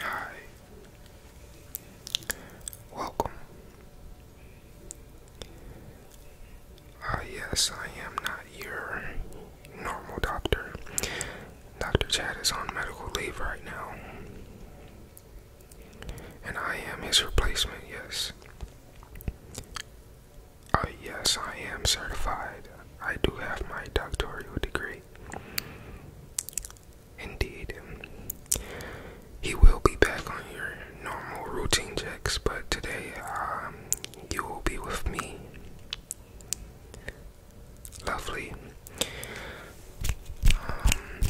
Hi. Welcome. Ah, yes, I am not your normal doctor. Dr. Chad is on medical leave right now. And I am his replacement, yes. Oh, yes, I am certified. I do have my doctoral degree. Indeed. He will be back on your normal routine checks, but today um, you will be with me. Lovely. Um,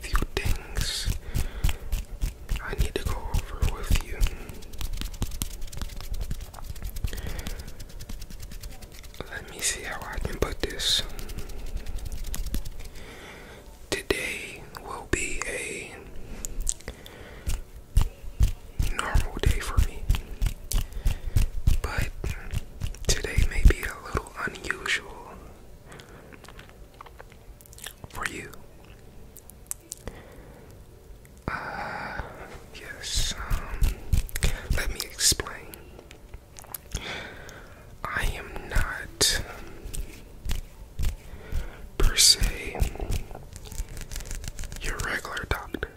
few things I need to go over with you. Let me see how I can put this. Today will be a normal day for me, but today may be a little unusual for you. Uh, yes, um, let me explain. I am not, per se, your regular doctor.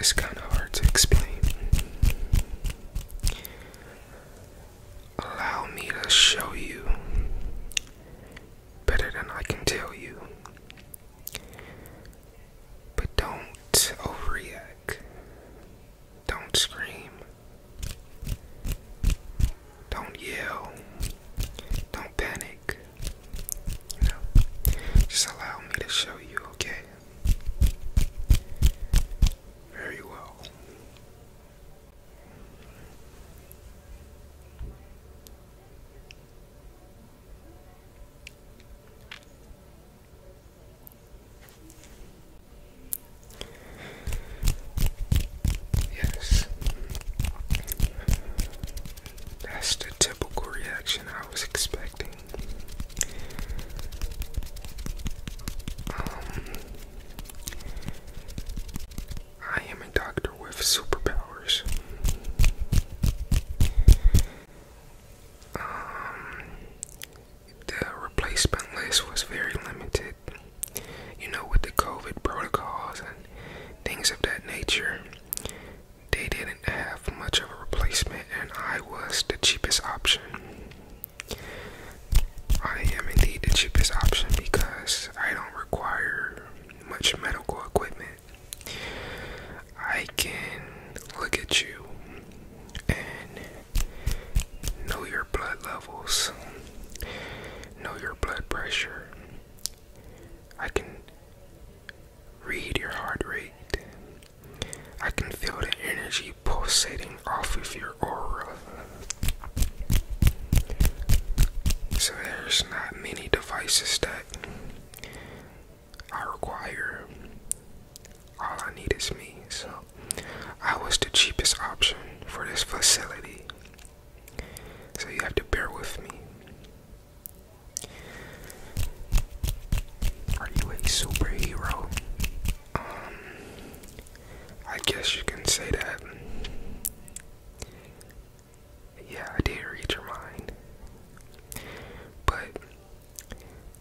It's kind of hard to explain. Allow me to show you better than I can tell you. But don't overreact. Don't scream. Don't yell. Don't panic. You just allow me to show you, okay? Very well. Yes, that's the typical reaction I was expecting. Um, I am a doctor with superpowers. Um, the replacement list was very limited, you know, with the COVID protocols and things of that nature. They didn't have much of a replacement, and I was the cheapest option. I am indeed the cheapest option because I don't require much medical equipment. I can look at you and know your blood levels, know your blood pressure. I can read your heart rate. I can feel the energy pulsating off of your aura. So there's not many devices that I require. All I need is me. So I was the cheapest option for this facility. So you have to bear with me. Are you a superhero? Um, I guess you can say that. Yeah, I did read your mind. But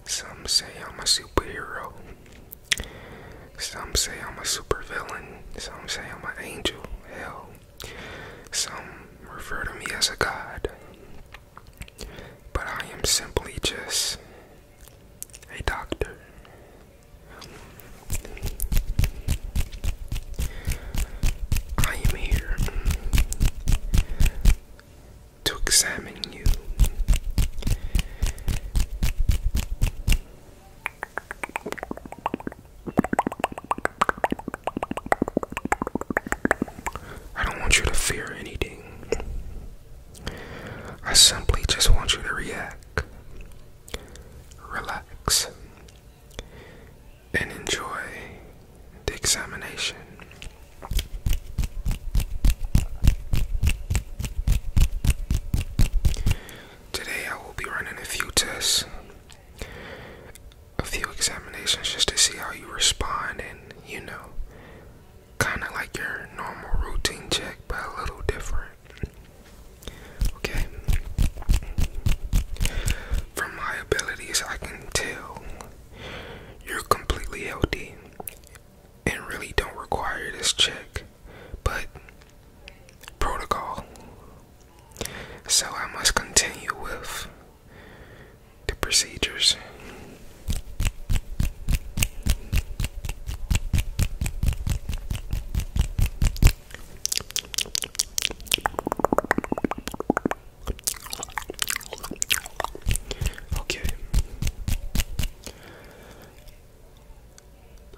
some say I'm a superhero. Some say I'm a supervillain. Some say I'm an angel. Hell, some refer to me as a god. But I am simply just a doctor. I am here to examine you. I don't want you to fear anything. I simply just want you to react relax, and enjoy the examination. Today, I will be running a few tests, a few examinations just to see how you respond, and you know, kind of like your normal routine check, but a little different. Okay. From my abilities, I can tell you're completely healthy and really don't require this check, but protocol. So I must continue with the procedures. Okay.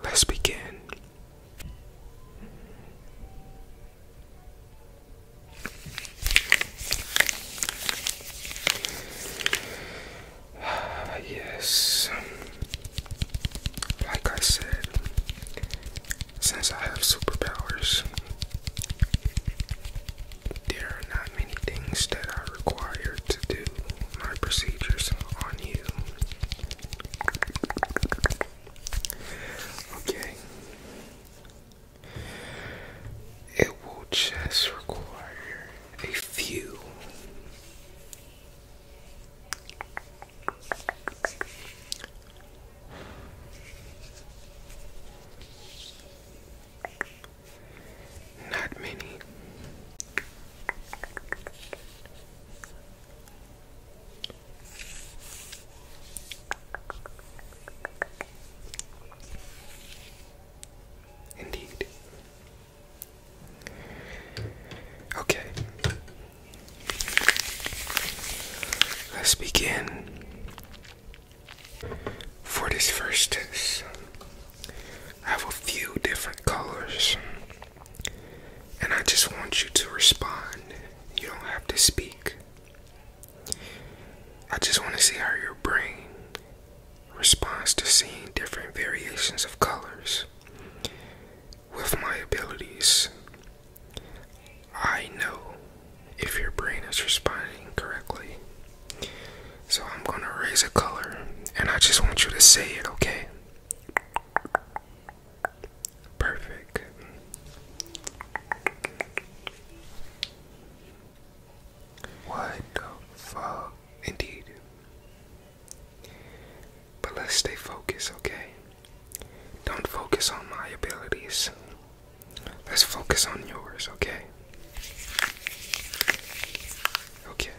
Let's begin. Uh, yes, like I said, since I have superpowers, there are not many things that I require to do my procedures on you. Okay. It will just require a few not many. Indeed. Okay. Let's begin. For this first test, I have a few different colors. And I just want you to respond. You don't have to speak. I just want to see how your brain responds to seeing different variations of colors with my abilities. I know if your brain is responding correctly. So I'm going to raise a color and I just want you to say it, okay? Perfect. What the fuck? Indeed. But let's stay focused, okay? Don't focus on my abilities. Let's focus on yours, okay? Okay.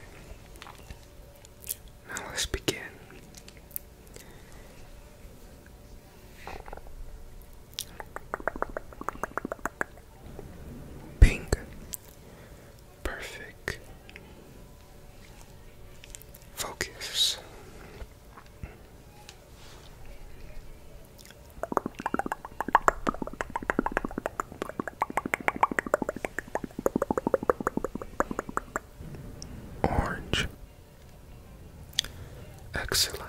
Now let's begin. Pink perfect focus. Orange. Excellent.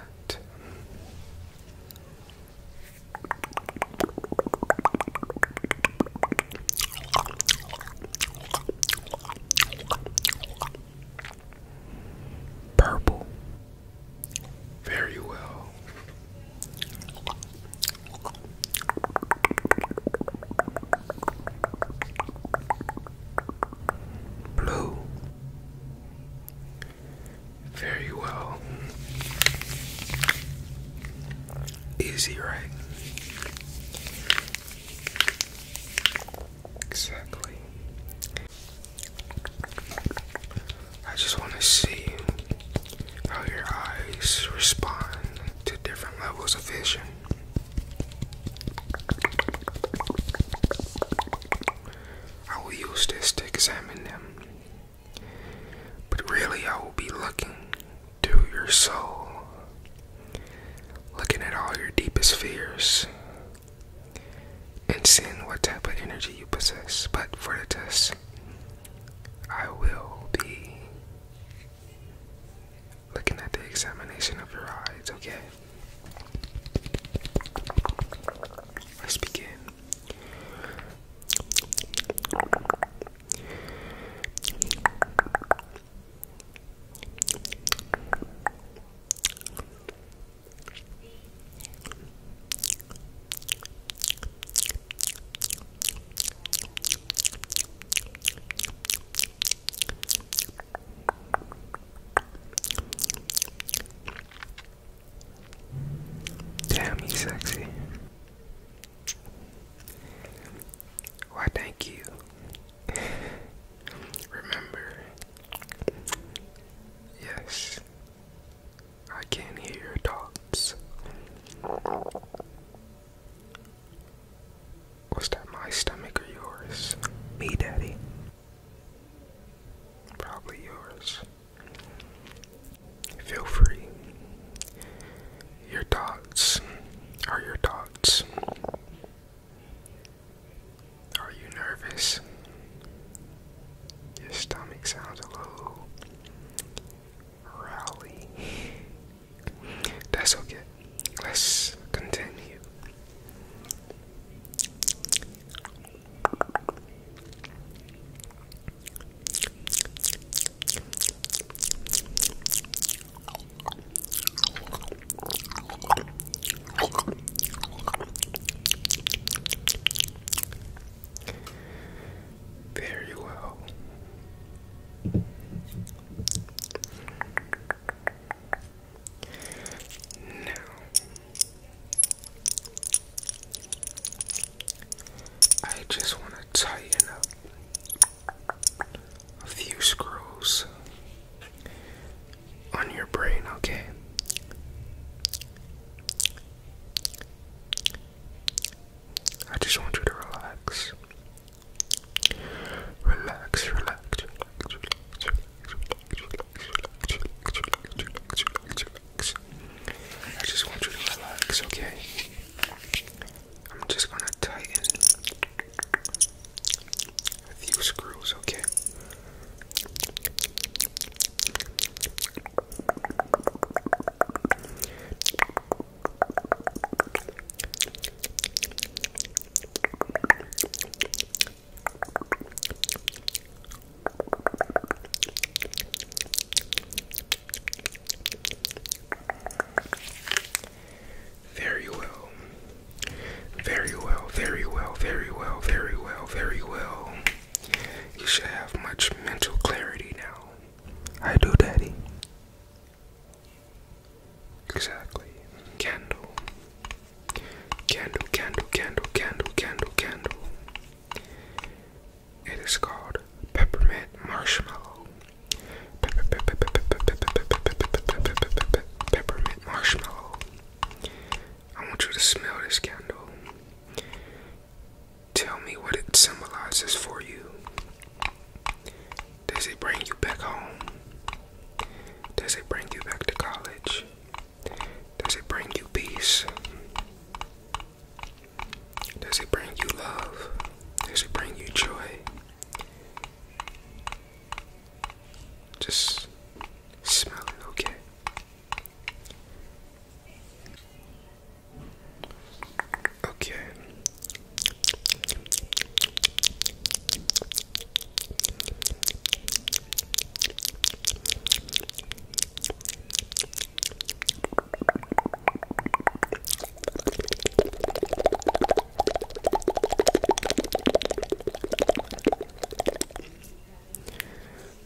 Purple. Very well. Blue. Very well. Easy, right? Exactly. I just want to see how your eyes respond to different levels of vision. I will use this to examine them, but really, I will be looking to your soul, looking at all your deepest fears, and seeing what type of energy you possess. But for the test, I will be looking at the examination of your eyes, okay? Let's begin. Damn, he's sexy. Why, thank you. Remember, yes, I can hear your thoughts. Was that my stomach or yours? Me, Daddy. Probably yours. Feel free your thoughts? Are your thoughts? Are you nervous? Your stomach sounds a little rowdy. That's okay. Let's continue. Very well. Now, I just want to tighten up a few screws on your brain, okay? I just want you to relax. Relax, relax, relax, relax, relax, relax, relax, relax. I just want you to relax, okay? I'm just gonna tighten a few screws, okay? Very well. Very well, very well, very well, very well, very well. You should have much mental clarity now. I do, Daddy. Exactly. Candle. Candle, candle, candle, candle, candle, candle. It is called peppermint marshmallow. Peppermint marshmallow. I want you to smell this candle. Tell me what it symbolizes for you. Does it bring you back home? Does it bring you back to college? Does it bring you peace? Does it bring you love? Does it bring you joy? Just smell it, okay? Okay.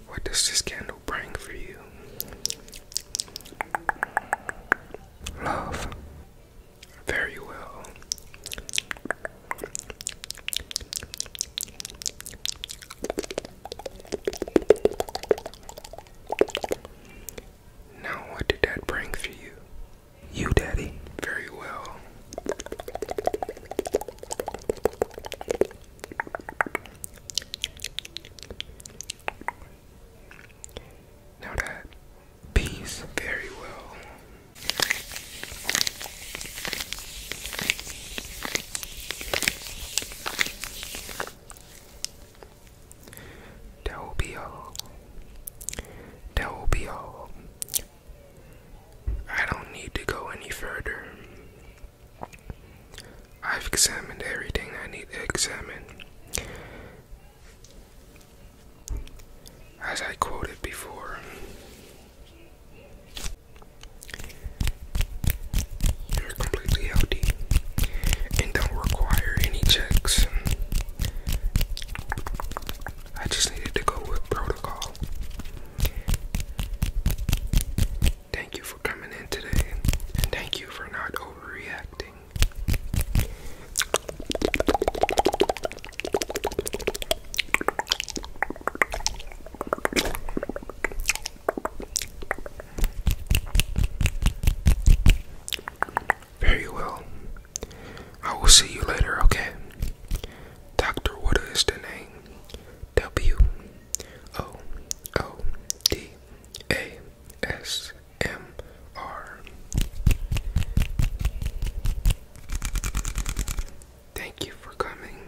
What does this candle bring for you? Love. Very well. Now, what did that bring for you? You, Daddy. Very well. Now that peace very well. Delbio. Delbio. I don't need to go any further. I've examined everything I need to examine. As I quoted before, you're completely healthy and don't require any checks. I just needed to go with protocol. Thank you for coming in today, and thank you for not overreacting. Very well. I will see you later, okay? Doctor, what is the name? W O O D A S M R. Thank you for coming.